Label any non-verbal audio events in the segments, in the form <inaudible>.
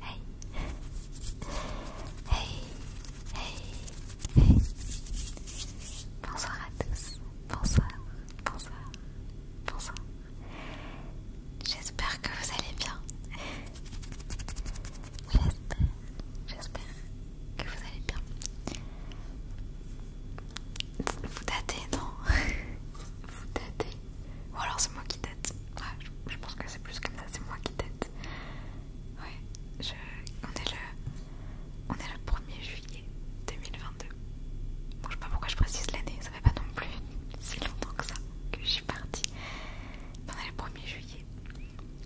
Hey. Hey. Bonsoir à tous. Bonsoir. Bonsoir. Bonsoir. J'espère que vous allez bien. J'espère. J'espère que vous allez bien. Vous datez, non <laughs> Vous datez ou alors c'est moi qui tête. Ouais, je, pense que c'est plus comme ça, c'est moi qui tête. Ouais, on, est le, 1er juillet 2022. je sais pas pourquoi je précise l'année, ça fait pas non plus si longtemps que ça que je suis partie. on est le 1er juillet.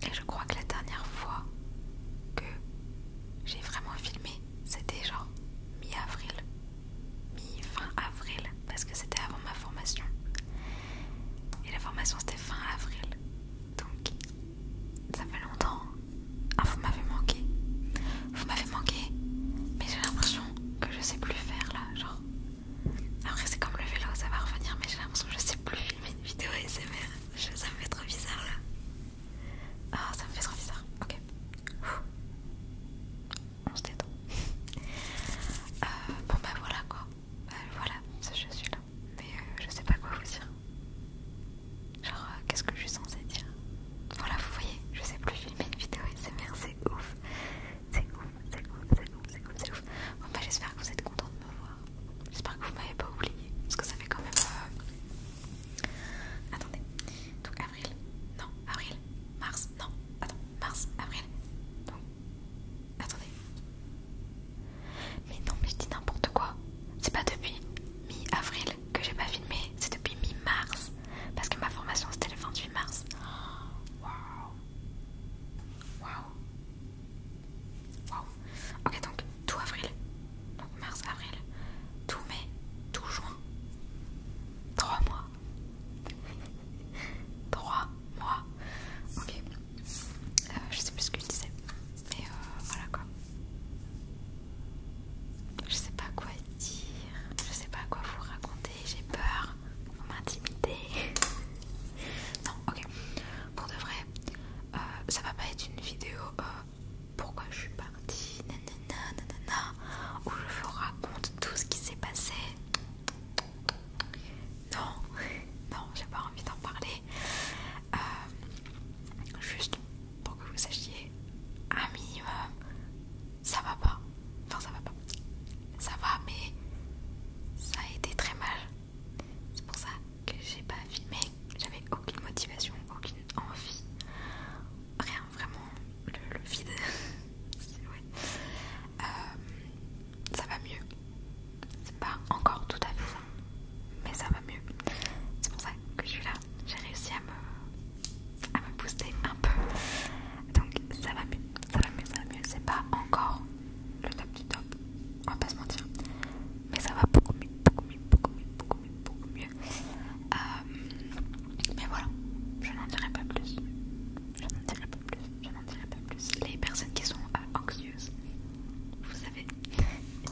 Et je crois que la dernière fois que j'ai vraiment filmé, c'était genre mi-avril mi-fin avril parce que c'était avant ma formation. Et la formation c'était fin avril. Donc ça fait longtemps. Ah vous m'avez manqué. Vous m'avez manqué. Mais j'ai l'impression que je sais plus faire là. Genre. Après c'est comme le vélo, ça va revenir mais j'ai l'impression que je sais plus filmer une vidéo ASMR. Je, ça me fait trop bizarre là. Ah ça me fait trop bizarre. Ok on se détend. Euh, bon bah voilà quoi. Euh, voilà, je suis là. Mais euh, je sais pas quoi vous dire. Genre, qu'est-ce que je suis censée dire Voilà, vous voyez, je sais plus filmer une vidéo SMR, c'est ouf. C'est ouf, c'est ouf, c'est ouf, c'est ouf, c'est ouf. Bon bah j'espère que vous êtes contents de me voir. J'espère que vous m'avez pas oublié. Parce que ça fait quand même... Attendez non, avril, mars, non, attends, mars, avril, donc, attendez. Mais non, mais je dis n'importe quoi. C'est pas depuis mi-avril que j'ai pas filmé, c'est depuis mi-mars. Parce que ma formation c'était le 28 mars. Wow, Waouh! Waouh! Ok, donc tout avril, donc mars, avril, tout mai, tout juin, Trois mois. Trois mois. Ok. Euh, je sais plus ce que je disais. Mais euh, voilà quoi. Je sais pas quoi dire. Je sais pas quoi vous raconter. J'ai peur. Vous m'intimidez. non, ok. Pour de vrai, euh, ça va pas être une vidéo pourquoi je suis partie, nanana, nanana, où je vous raconte tout ce qui s'est passé. Non, non, j'ai pas envie d'en parler. Euh, juste pour que vous sachiez, un minimum, ça va pas. Enfin, ça va pas. Ça va, mais ça a été très mal. C'est pour ça que j'ai pas filmé. J'avais aucune motivation, aucune envie, rien vraiment le, vide. <laughs> Euh, ça va mieux. C'est pas encore tout à fait ça, mais ça va mieux. C'est pour ça que je suis là. J'ai réussi à me, à me booster un peu. Donc ça va mieux, ça va mieux, ça va mieux. C'est pas encore le top du top, on va pas se mentir. Mais ça va beaucoup mieux beaucoup mieux, beaucoup mieux, beaucoup mieux. Euh, mais voilà, je n'en dirai pas plus. Je n'en dirai pas plus, je n'en dirai pas plus. Les personnes qui sont euh, anxieuses, vous savez, <laughs>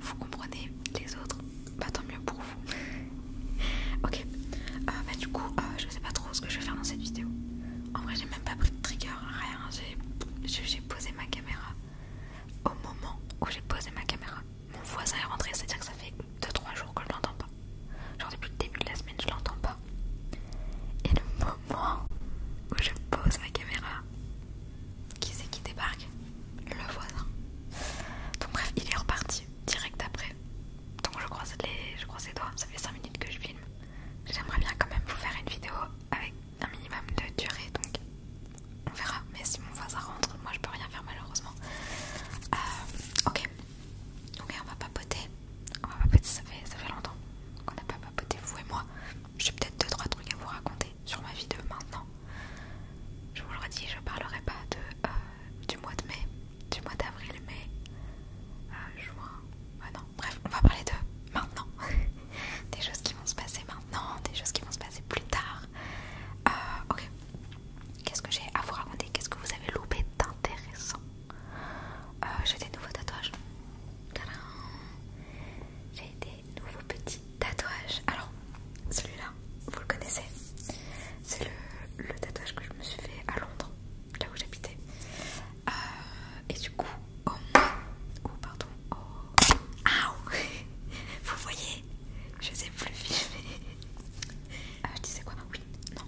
vous comprenez les autres, bah tant mieux pour vous. <laughs> ok, euh, bah du coup, je sais pas trop ce que je vais faire dans cette vidéo. En vrai, j'ai même pas pris de trigger, rien. J'ai posé ma caméra au moment où j'ai posé ma caméra mon voisin est rentré, c'est-à-dire que ça fait 2-3 jours que je l'entends pas. Genre depuis le début de la semaine, je l'entends pas. Et le moment où je pose ma caméra, qui c'est qui débarque Le voisin. Donc bref, il est reparti direct après. Donc je croise les, je croise les doigts, ça fait 5 minutes que je filme. J'aimerais bien quand même vous faire une vidéo avec un minimum de durée, donc on verra. Mais si mon voisin rentre, moi je peux rien faire malheureusement. Euh, ok, ok, on va papoter. On va papoter, ça fait, ça longtemps qu'on n'a pas papoté, vous et moi. J'ai peut-être deux, trois trucs à vous raconter sur ma vie de maintenant. Je vous le redis, je parlerai pas de, euh, du mois de mai, du mois d'avril, mai, euh, juin. non, bref, on va parler de maintenant. <laughs> des choses qui vont se passer maintenant, des choses qui vont se passer plus tard, euh, ok. Qu'est-ce que j'ai à vous raconter Qu'est-ce que vous avez loupé d'intéressant euh, J'ai des nouveaux tatouages. J'ai des nouveaux petits tatouages. Alors, celui-là, vous le connaissez. C'est le, tatouage que je me suis fait à Londres, là où j'habitais. Euh, et du coup, oh ou pardon, vous voyez Je ai plus filmés. Euh, tu je disais quoi Oui, non,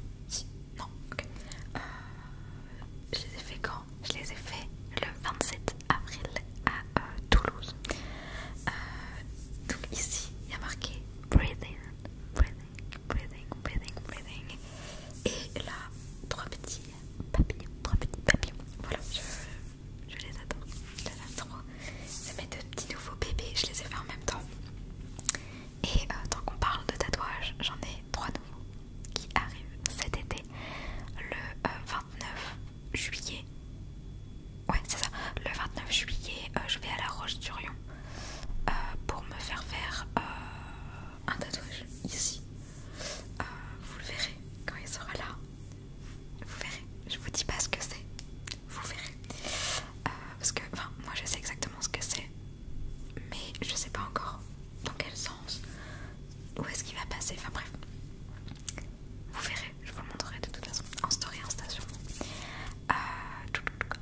non, ok. Euh, je les ai fait quand Je les ai fait le 27 avril à euh, Toulouse. donc ici, il y a marqué breathing, breathing, breathing, breathing, breathing. Et là, trois petits papillons, trois petits papillons. Voilà, je les adore. J'en ai trois. C'est mes deux petits nouveaux bébés. Je les ai fait en même temps. Et euh, tant qu'on parle de tatouage, j'en ai trois nouveaux qui arrivent cet été. Le 29 euh, juillet. Ouais, c'est ça. Le 29 juillet, euh, je vais à la roche du Rion pour me faire faire un tatouage ici. vous le verrez quand il sera là. Vous verrez, je vous dis pas ce que c'est, vous verrez. Euh, parce que, enfin, moi je sais exactement ce que c'est, mais je sais pas encore dans quel sens, où est-ce qu'il va passer, enfin bref. Vous verrez, je vous le montrerai de toute façon en story, en station. Euh,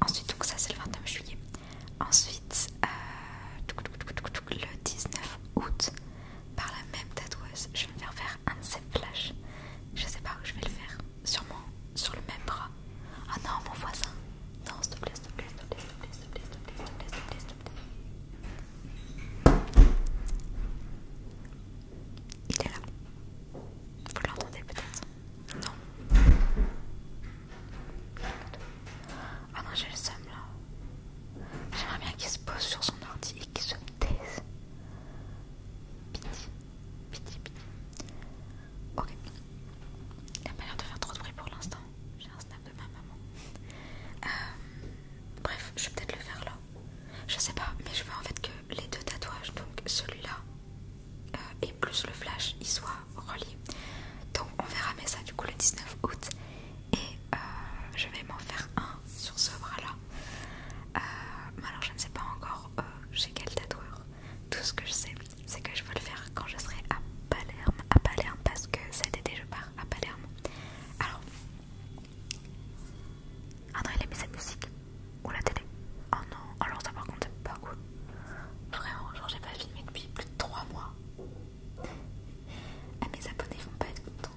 ensuite, donc ça c'est le 29 juillet. Ensuite, euh, le 19 août, par la même tatoueuse. Je vais me faire faire un de ses flashs. Je sais pas où je vais le faire. Sûrement sur le même bras. Ah non, mon voisin. Non, s'il te plaît, s'il te plaît, s'il te plaît, s'il te plaît, s'il plaît, Il est là. Vous l'entendez peut-être Non. Ah non, j'ai le seum là. J'aimerais bien qu'il se pose sur son ordi et qu'il se Piti, piti, Ok. pas l'air de faire trop de bruit pour l'instant. J'ai un snap de ma maman. Euh, bref, je vais peut-être le faire là. Je sais pas, mais je veux en fait que les deux tatouages, donc celui-là euh, et plus le flash, ils soient reliés. Donc on verra mais ça du coup le 19 août. Et euh, je vais m'en faire un sur ce bras là euh, alors je ne sais pas encore euh, chez quel tatoueur. Tout ce que je sais, c'est que je veux le faire quand je serai à Palerme. À Palerme parce que cet été je pars à Palerme. Alors... Ah il a sa musique. Ou la télé. Oh non, alors ça par contre c'est pas cool. Vraiment, genre j'ai pas filmé depuis plus de 3 mois. Ah mes abonnés vont pas être contents.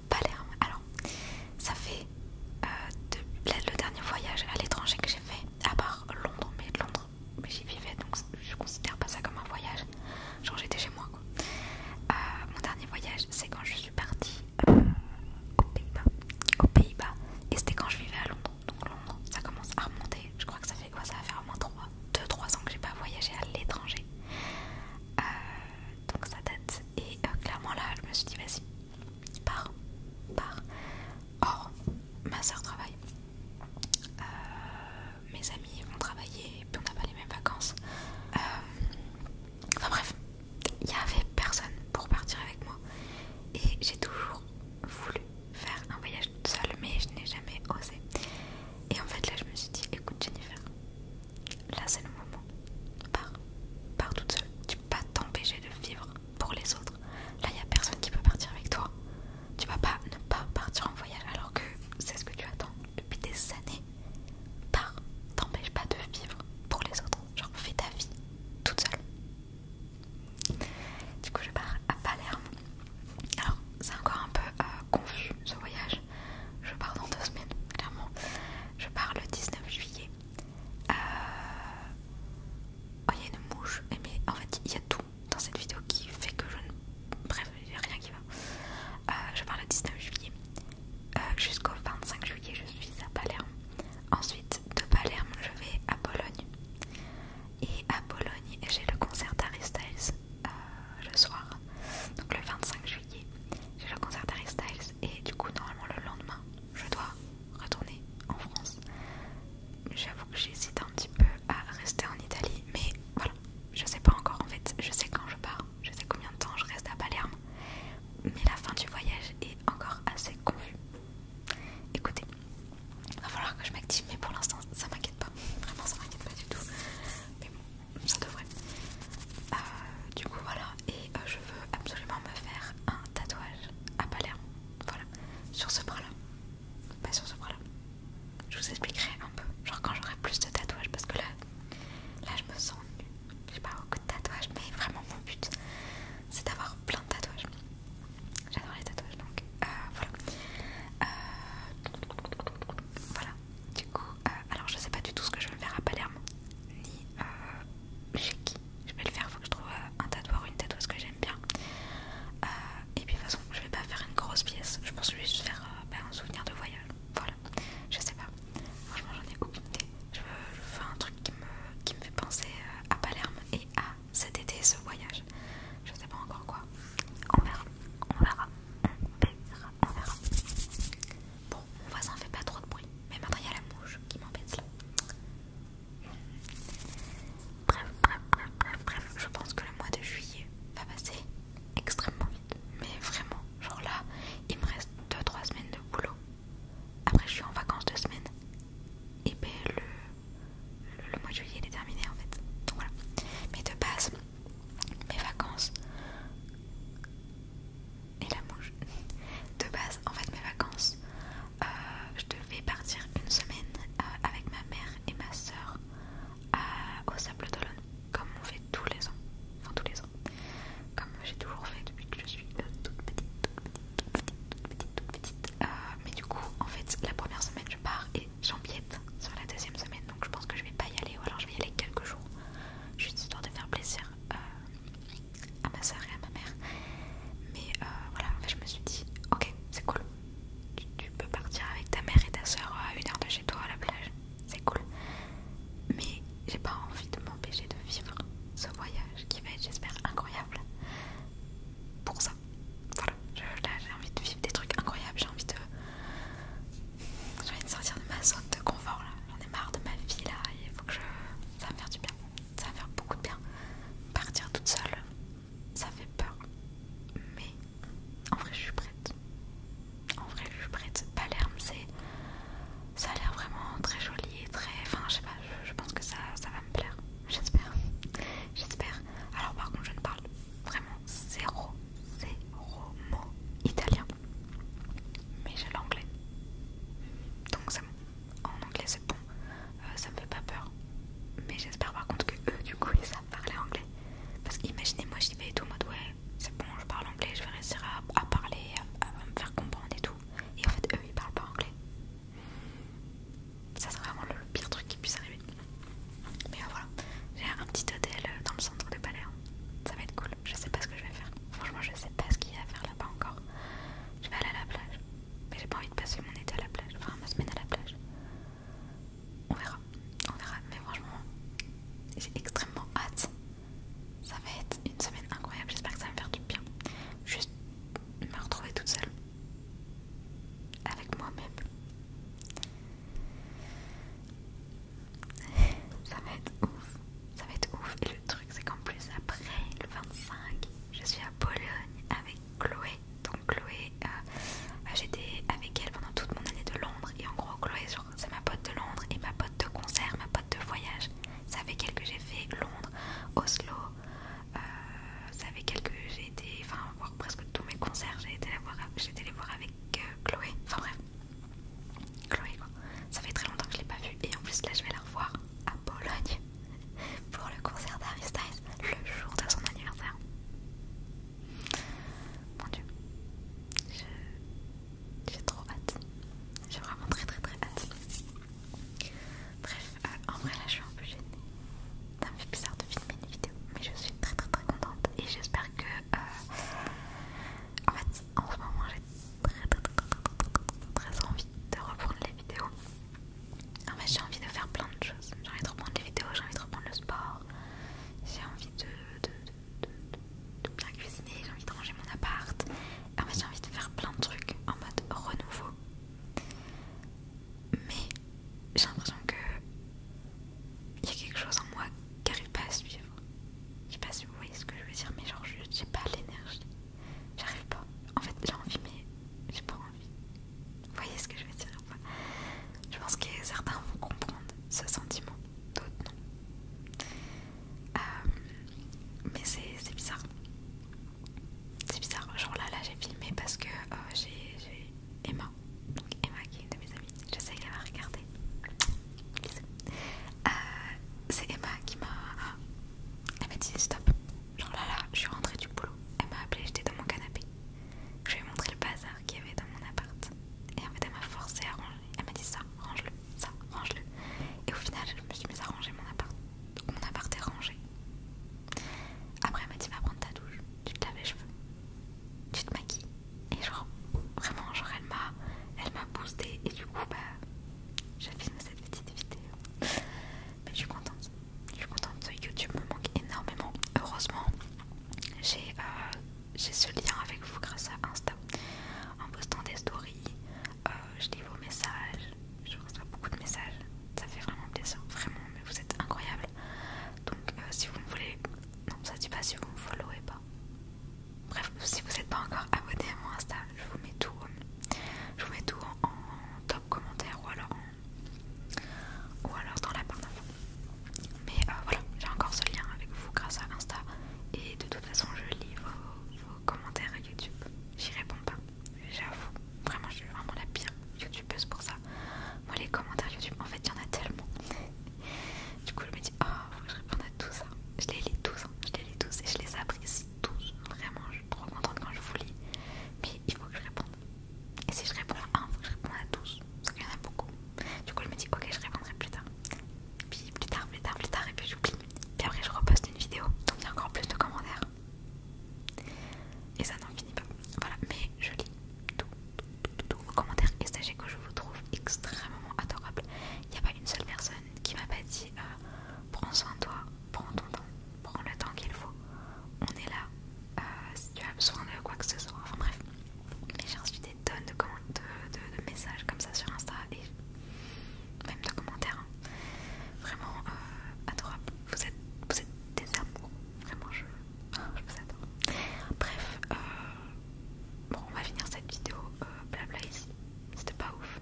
Palerme. Alors, ça fait euh, le dernier voyage à l'étranger que j'ai fait, à part Londres, mais Londres, mais j'y vivais donc je considère pas ça comme un voyage. Genre, j'étais chez moi quoi. Euh, mon dernier voyage, c'est quand je suis partie euh, aux Pays-Bas. Pays-Bas, et c'était quand je vivais à Londres. Donc, Londres, ça commence à remonter. Je crois que ça fait quoi Ça va faire au moins 2-3 ans que j'ai pas voyagé à l'étranger donc ça date. Et euh, clairement là, je me suis dit vas-y, pars, pars. Or, ma soeur travaille. Euh, mes amis vont travailler et puis on n'a pas les mêmes vacances. Euh, enfin bref, il n'y avait personne pour partir avec moi. Et j'ai toujours voulu faire un voyage toute seule, mais je n'ai jamais osé. Et en fait là, je me suis dit écoute Jennifer, Là, c'est le moment. Pars. Pars toute seule. Tu peux pas t'empêcher de vivre pour les autres. Là, il n'y a personne qui peut partir avec toi. Tu vas pas ne pas partir en voyage alors que c'est ce que tu attends depuis des années. Pars. T'empêche pas de vivre pour les autres. Genre, fais ta vie toute seule. Du coup, je pars à Palerme. Alors, c'est encore un peu euh, confus ce voyage. Je pars dans deux semaines, clairement. Je pars le 19 juillet. Euh, oh, il y a une mouche. Mais en fait, il y a tout dans cette vidéo qui fait que je ne. Bref, il rien qui va. Euh, je pars le 19 juillet. Euh, jusqu'au 25 juillet, je suis à Palerme. Ensuite, de Palerme, je vais à Bologne. Et à Bologne, j'ai le concert d'Harry Styles le soir, donc le 25 juillet j'ai le concert d'Harry Styles et du coup normalement le lendemain je dois retourner en France. J'avoue que j'hésite un petit peu à rester en Italie mais voilà, je sais pas encore en fait, je sais quand je pars, je sais combien de temps je reste à Palerme mais la fin du voyage est encore assez confus. Écoutez, va falloir que je m'active mais pour l'instant ça m'inquiète pas, vraiment ça m'inquiète pas du tout. Mais ça devrait. Euh, du coup, voilà. Et euh, je veux absolument me faire un tatouage à Palerme. Voilà. Sur ce bras-là. Pas sur ce bras-là. Je vous expliquerai un peu. Genre quand j'aurai plus de tatouages. Parce que là, là je me sens nue. J'ai pas beaucoup de tatouages. Mais vraiment, mon but, c'est d'avoir plein de tatouages. J'adore les tatouages donc. Euh, voilà. voilà. Du coup, euh, alors je sais pas du tout ce que je vais faire à Palerme, ni euh, chez qui je vais le faire. Faut que je trouve euh, un tatoueur ou une ce que j'aime bien. et puis de toute façon, je vais pas faire une grosse pièce. Je pense juste faire bah, un souvenir de voyage. Voilà, je sais pas. Franchement, j'en ai aucune idée. Je, veux faire un truc qui me, fait penser à Palerme et à cet été, ce voyage. Je sais pas encore quoi. On verra, on verra, on verra on verra. Bon, mon voisin fait pas trop de bruit, mais maintenant il y a la mouche qui m'embête là. Bref, bref, bref, bref, bref, je pense que le mois de juillet va passer extrêmement vite. Mais vraiment, genre là, il me reste 2-3 semaines de boulot. Après, je suis en vacances 2 semaines. Et ben le, mois de juillet il est terminé en fait. Donc voilà. Mais de base, mes vacances et la mouche. <laughs> De base, en fait, mes vacances, euh, je devais partir une semaine euh, avec ma mère et ma soeur euh, au Sable d'Olonne, comme on fait tous les ans. Enfin, tous les ans. Comme j'ai toujours fait depuis que je suis toute petite, toute petite, toute petite, toute petite. mais du coup, en fait, la première semaine, je pars et j'empiète sur la deuxième semaine. Donc, je pense que je vais pas y aller, ou alors je vais y aller quelques jours juste histoire de faire plaisir euh, à ma soeur et à ma mère. Mais euh, en fait je me suis dit, ok, c'est cool. Tu, peux partir avec ta mère et ta soeur à euh, une heure de chez toi à la plage, c'est cool. Mais j'ai pas envie de m'empêcher de vivre ce voyage qui va être, j'espère, incroyable. Pour ça, voilà, j'ai envie de vivre des trucs incroyables, j'ai envie de j'ai envie de sortir de ma zone de confort là. J'en ai marre de ma vie là. Il faut que je. Ça va me faire du bien. Ça va me faire beaucoup de bien. Partir toute seule, ça fait peur. Mais en vrai, je suis prête. En vrai, je suis prête. Palerme, c'est. Ça a l'air vraiment très joli et très. Enfin, je sais pas, je, pense que ça, ça va me plaire. J'espère. J'espère. Alors, par contre, je ne parle vraiment zéro, zéro mot italien. Mais j'ai l'anglais. Donc c'est En anglais c'est bon. Euh, ça me fait pas peur. Mais j'espère par contre que eux du coup ils savent parler anglais. Parce qu'imaginez moi j'y vais et tout en mode ouais c'est bon je parle anglais, je vais réussir à, parler, à me faire comprendre et tout. Et en fait eux ils parlent pas anglais. Ça serait vraiment le pire truc qui puisse arriver. Mais euh, voilà, j'ai un petit hôtel euh, dans le centre de Palais, Ça va être cool. Je sais pas ce que je vais faire. Franchement, je sais pas ce qu'il y a à faire là-bas encore. Je vais aller à la plage. Mais j'ai pas envie de passer mon été à la plage. Enfin, ma semaine à la plage. On verra. On verra. Mais franchement, j'ai extrêmement hâte. Ça va être une semaine incroyable. J'espère que ça va me faire du bien. Juste me retrouver toute seule. Avec moi-même. <laughs> ça va être ouf, ça va être ouf. Et le truc, c'est qu'en plus, après le 25, je suis à Pologne avec Chloé. Donc, Chloé, euh, bah, j'étais avec elle pendant toute mon année de Londres. Et en gros, Chloé, c'est ma pote de Londres et ma pote de concert, ma pote de voyage. Ça fait elle que j'ai fait Londres, Oslo. Ça fait quelques que j'ai été, enfin, voir presque tous mes concerts. J'ai été, les voir avec que euh, Chloé, enfin bref, Chloé quoi. Ça fait très longtemps que je l'ai pas vue et en plus là je vais la revoir à Bologne <laughs> pour le concert d'Aristide, le jour de son anniversaire. Mon dieu, j'ai trop hâte, j'ai vraiment très très très hâte. Bref, euh, en vrai là je suis un peu gênée, ça me bizarre de filmer mais je suis très très très contente et j'espère que euh, en fait en ce moment j'ai très très très, très envie de reprendre les vidéos en fait j'ai envie de faire plein de choses j'ai envie de reprendre les vidéos, j'ai envie de reprendre le sport j'ai envie de, bien cuisiner, j'ai envie de ranger mon appart en fait j'ai envie de faire plein de trucs en mode renouveau mais j'ai l'impression que il y a quelque chose en moi qui n'arrive pas à suivre. vous voyez ce que je veux dire, mais genre, j'ai pas l'énergie. J'arrive pas. En fait, j'ai envie, mais j'ai pas envie. Vous voyez ce que je veux dire Je pense que certains vont comprendre ce sentiment, d'autres non. Euh, mais c'est bizarre. C'est bizarre. Genre là, là j'ai filmé parce que euh, j'ai Emma, donc Emma qui est une de mes amies, sais qu'elle va regarder. Euh, c'est Emma qui m'a. Elle m'a dit stop. Genre là là, je suis rentrée du boulot. Elle m'a appelée, j'étais dans mon canapé. Je lui ai montré le bazar qu'il y avait dans mon appart. Et en fait, elle m'a forcée à ranger. Elle m'a dit ça, range-le, ça, range-le. Et au final, je me suis mise à ranger mon appart. Donc mon appart est rangé. Après, elle m'a dit va prendre ta douche, tu te laves les cheveux, tu te maquilles, et genre vraiment genre elle m'a elle boosté et du coup bah j'ai filmé cette petite vidéo mais je suis contente je suis contente YouTube me manque énormément heureusement j'ai euh, j'ai ce lien avec vous grâce à Insta en postant des stories euh, je lis vos messages je reçois beaucoup de messages ça fait vraiment plaisir vraiment mais vous êtes incroyables donc, euh, si vous me voulez. Non, ça dit pas si vous me followez pas. Bref, si vous n'êtes pas encore <laughs> abonné à mon Insta, je vous mets tout, euh, je vous mets tout en, top commentaire ou alors, ou alors dans la barre d'infos. Mais euh, voilà, j'ai encore ce lien avec vous grâce à Insta. Et de toute façon, je lis vos, commentaires à YouTube. J'y réponds pas, j'avoue. Vraiment, je suis vraiment la pire YouTubeuse pour ça. Moi, les commentaires YouTube, en fait, il y en a tellement. Du coup, je me dis, oh, faut que je réponde à tous ça. Je les lis tous, hein. je les lis tous et je les apprécie tous. Vraiment, je suis trop contente quand je vous lis. Mais il faut que je réponde. Et si je réponds à un, il faut que je réponde à tous. Parce qu'il y en a beaucoup. Du coup, je me dis, ok, je répondrai plus tard. Puis plus tard, plus tard, plus tard, et puis j'oublie. Puis après, je reposte une vidéo. Donc, il y a encore plus de commentaires et ça n'en finit pas. Voilà, mais je lis tous, tous, tout, vos commentaires et sachez que je vous trouve extrêmement adorable. Il n'y a pas une seule personne qui m'a pas dit euh, prends soin de toi, prends ton temps, prends le temps qu'il faut. On est là euh, si tu as besoin de quoi que ce soit. Enfin bref, j'ai reçu des tonnes de, messages comme ça sur Insta et même de commentaires. Hein. Vraiment euh, adorables. Vous êtes, vous êtes des amours. Vraiment, je, je vous adore. Bref, euh, bon, on va finir cette vidéo euh, blabla ici. C'était pas ouf.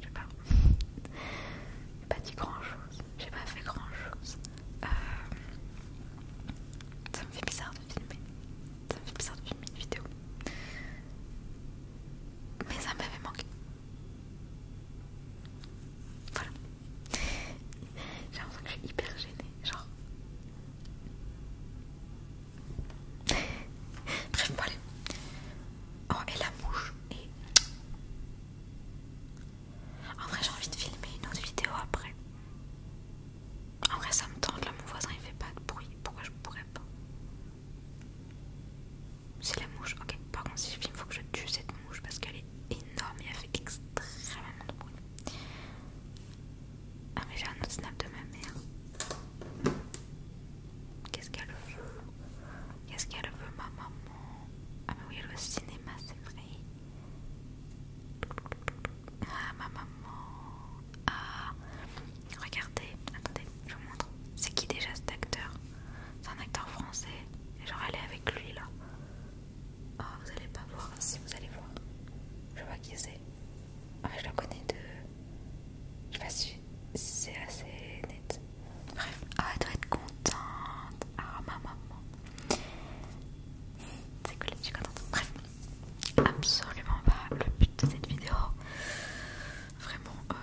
je sais pas. <laughs> J'ai pas dit grand chose. J'ai pas fait grand chose. Euh, ça me fait bizarre de filmer. Ça me fait bizarre de filmer une vidéo. Mais ça m'avait manqué. Voilà. J'ai l'impression que je suis hyper gênée. Genre. Bref, bon, Oh, et la mouche. Et. En vrai, j'ai envie de filmer une autre vidéo après. En vrai, ça me tente. Là, mon voisin il fait pas de bruit. Pourquoi je pourrais pas C'est la mouche. Ok, par contre, si je filme, faut que je tue cette parce qu'elle est énorme et elle fait extrêmement de bruit. Ah mais j'ai un autre snap de ma mère. Qu'est-ce qu'elle veut Qu'est-ce qu'elle veut ma maman Ah mais oui elle au cinéma c'est vrai. Ah ma maman. Ah regardez, attendez, je vous montre. C'est qui déjà cet acteur C'est un acteur français. Et genre elle est avec lui là. Ah, vous allez pas voir, si vous allez voir. Je vois qui c'est. Ah, je la connais de. Je sais pas si c'est assez net. Bref, ah, elle doit être contente. Ah, ma maman. C'est cool, je suis contente. Bref, absolument pas le but de cette vidéo. Vraiment, euh,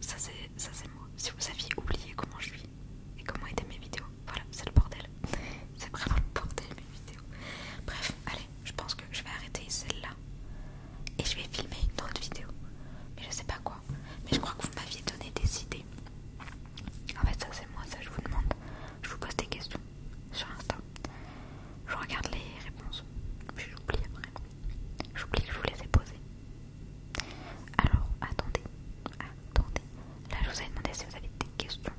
ça c'est moi. Si vous aviez oublié comment je suis et comment étaient mes vidéos. Voilà, c'est le bordel. c'est vraiment le bordel mes vidéos. Bref, allez, je pense que je vais arrêter celle-là et je vais filmer une autre vidéo. Mais je sais pas quoi. Mais je crois que vous m'aviez donné des idées. En fait, ça c'est moi, ça je vous demande. Je vous pose des questions sur Insta. Je regarde les réponses. Puis j'oublie après. J'oublie que je vous les ai posées. Alors, attendez attendez. Là, je vous ai demandé si vous aviez des questions.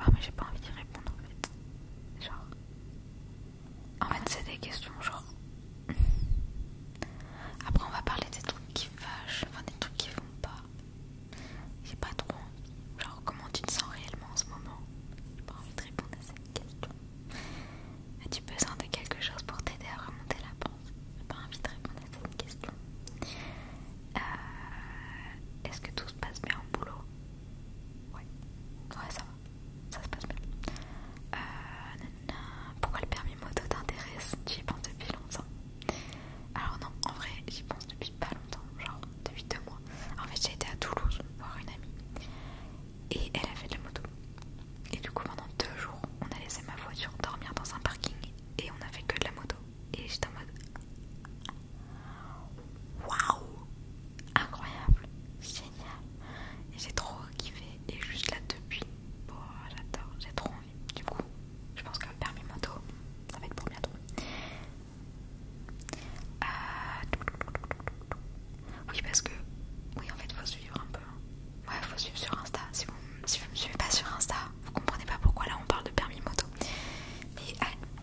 Ah, mais j'ai pas envie d'y répondre en fait. Genre. En fait, c'est des questions, genre. Après, on va parler des trucs qui fâchent, enfin des trucs qui vont pas. J'ai pas trop envie. Genre, comment tu te sens réellement en ce moment J'ai pas envie de répondre à cette question. As-tu besoin de quelque chose pour t'aider à remonter la pente pas envie de répondre à cette question. Euh, est-ce que tout se passe bien au boulot Ouais, ça va, ça se passe bien. Euh, pourquoi le permis moto t'intéresse J'y pense depuis longtemps. Alors, non, en vrai, j'y pense depuis pas longtemps, genre depuis deux mois. En fait, j'ai été à Toulouse voir une amie et elle a fait de la moto. Et du coup, pendant deux jours, on a laissé ma voiture dormir dans un parking et on a fait que de la moto. Et j'étais en mode waouh, incroyable, génial. Et j'ai trop kiffé. Et juste là depuis, j'adore, j'ai trop envie. Du coup, je pense que le permis moto, ça va être pour bientôt. Euh, oui, parce que. Oui, en fait, faut suivre un peu. Hein. Ouais, faut suivre sur Insta. Si vous, ne me suivez pas sur Insta, vous comprenez pas pourquoi là on parle de permis moto. Mais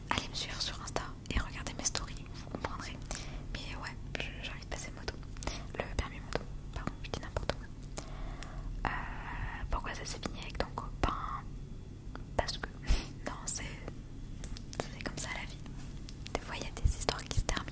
allez me suivre sur Insta et regardez mes stories, vous comprendrez. Mais ouais, j'ai envie de passer moto. Le permis moto, pardon, je dis n'importe quoi. Euh, pourquoi ça s'est fini avec ton copain Parce que. <laughs> Non, c'est. C'est comme ça la vie. Des fois, il y a des histoires qui se terminent.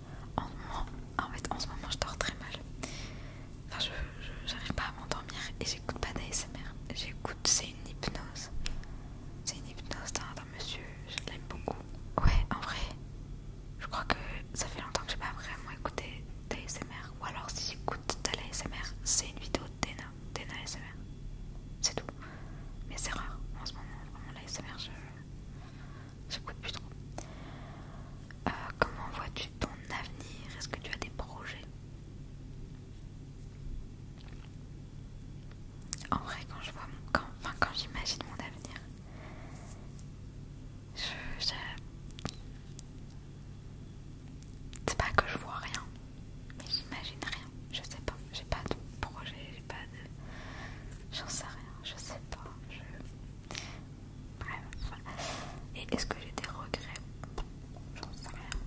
en, en fait en ce moment je dors très mal enfin je j'arrive pas à m'endormir et j'écoute pas d'ASMR j'écoute c'est une hypnose c'est une hypnose d'un monsieur je l'aime beaucoup ouais en vrai je crois que ça fait longtemps que j'ai pas vraiment écouté d'ASMR ou alors si j'écoute de l'ASMR c'est une vidéo d'ENA d'ENA ASMR c'est tout mais c'est rare en ce moment vraiment je J'écoute plus trop. Euh, comment vois-tu ton avenir Est-ce que tu as des projets En vrai, quand je vois mon, enfin, quand j'imagine mon avenir, c'est pas que je vois rien, mais j'imagine rien. Je sais pas, j'ai pas de projet, j'ai pas de J'en sais rien, je sais pas. Bref, Et est-ce que j'ai des regrets J'en sais rien.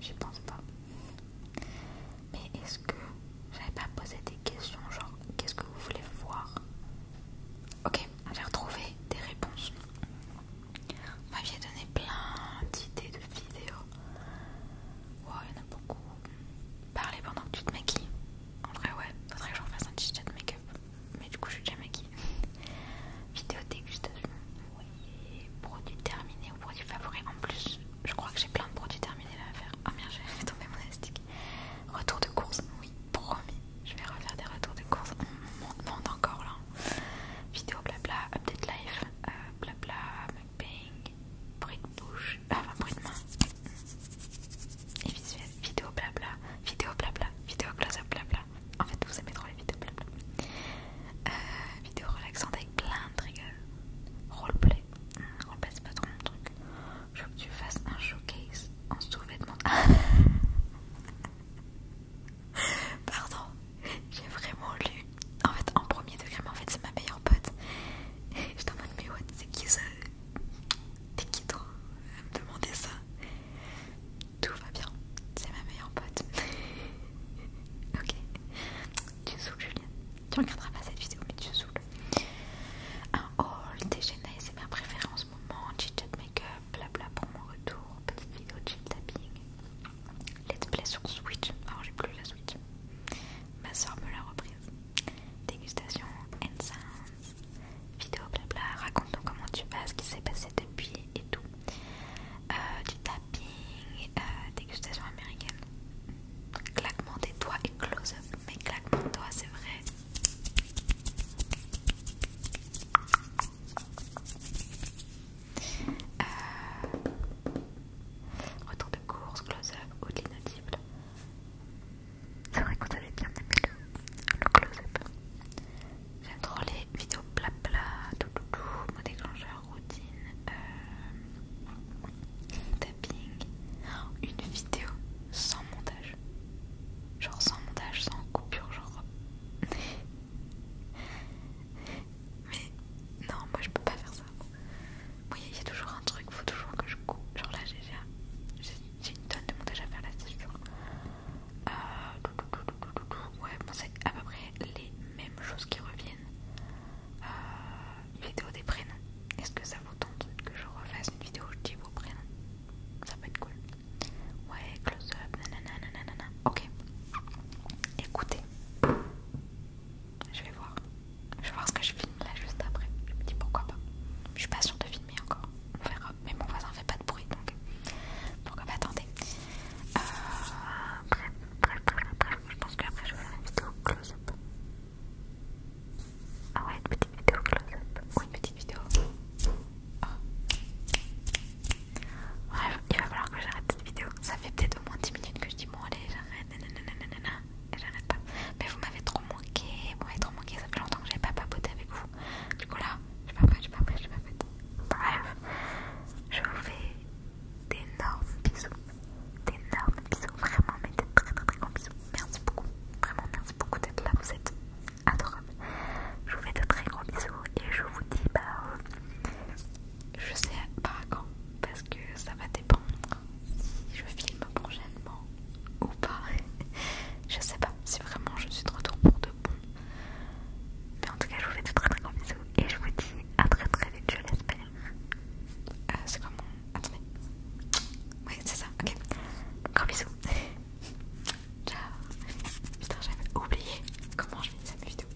J'y pense pas. Mais est-ce que j'avais pas posé des questions genre qu'est-ce que vous voulez voir Ok, j'ai retrouvé des réponses. moi j'ai donné plein d'idées de vidéos. waouh il y en a beaucoup parler pendant que tu te maquilles. En vrai, ouais, faudrait que je refasse un petit chat make-up. Mais du coup, je suis déjà maquillée. <laughs> Vidéo dégustation. Oui. Produits terminés ou produits favoris. En plus, je crois que j'ai plein de produits terminés là à faire. Oh merde, j'ai fait tomber mon élastique. Retour de course. Oui, promis. Je vais refaire des retours de course. Non, encore là. Vidéo blabla, update life, euh, blabla, mukbang, bruit de bouche, euh, enfin bruit de main et visuel, vidéo blabla, vidéo blabla, vidéo close blabla. En fait, vous aimez trop les vidéos blabla. Euh, vidéo relaxante avec plein de triggers. Roleplay, hmm, roleplay c'est pas trop mon truc. Je veux que tu fasses un showcase en sous-vêtements. <laughs> Pardon, j'ai vraiment lu. En fait, en premier degré, mais en fait, c'est ma meilleure meilleur pote. je en mes mais what, c'est qui ça T'es qui toi à me demander ça Tout va bien, c'est ma meilleure pote. <laughs> ok, tu saoules, Julien. Tu regarderas pas cette vidéo, mais tu saoules. Un haul, déjeuner, c'est ma préférée en ce moment. Chit-chat make-up, blabla pour mon retour. Petite vidéo chill tapping. Let's play sur Switch. Alors, ah, j'ai plus la Switch. Ma soeur me l'a repris dégustation and vidéo blabla, raconte-nous comment tu vas, ce qui s'est passé depuis et tout. Euh, du tapping, euh, dégustation américaine, claquement des doigts et close-up, mais claquement de doigts c'est vrai. Euh, Retour de course, close-up ou de l'inaudible. C'est vrai qu'on bien aimé le, close-up. J'aime trop les vidéos plat-plat, tout mode déclencheur, routine, euh, tapping. Une vidéo sans montage. Genre sans montage, sans coupure, genre. <laughs> Mais non, moi je peux pas faire ça. Oui, il y a toujours un truc, faut toujours que je coupe. Genre là, j'ai une tonne de montage à faire là, c'est genre... Euh, ouais, bon, c'est à peu près les mêmes choses qui reviennent. Euh, vidéo des prénoms. Est-ce que ça vous tente que je refasse une vidéo où je dis vos prénoms Ça peut être cool. Ouais, close-up, nanana, nanana. Ok. Écoutez. Je vais voir. Je vais voir ce que je filme là juste après. Je me dis pourquoi pas. Je suis pas sûre de filmer encore. On verra. Mais mon voisin fait pas de bruit donc pourquoi pas attendez. Euh... Bref, bref, bref, bref. Je pense qu'après je vais faire une vidéo close-up. Ah ouais, une petite vidéo close-up. Ou une petite vidéo. Oh. Bref, il va falloir que j'arrête cette vidéo. Ça fait peut-être au moins 10 minutes que je dis bon allez, et j'arrête pas. Mais vous m'avez trop manqué, vous m'avez trop manqué, ça fait longtemps que j'ai pas papoté avec vous. Du coup là, j'ai pas fait, j'ai pas fait, j'ai pas fait. Bref, je vous fais d'énormes bisous, d'énormes bisous, vraiment, mais des très très très grands bisous. Merci beaucoup, vraiment merci beaucoup d'être là, vous êtes adorables. Je vous fais de très gros bisous et je vous dis bah... Euh, je sais pas quand, parce que ça va dépendre si je filme prochainement ou pas. <laughs> je sais pas si vraiment je suis de retour pour de bon. Mais en tout cas, je vous fais de très très gros bisous et je vous dis à très très vite, je l'espère. Euh, c'est comment Attendez. Oui, c'est ça, ok. Gros bisous. <laughs> Ciao. Putain, j'avais oublié comment je finis cette vidéo.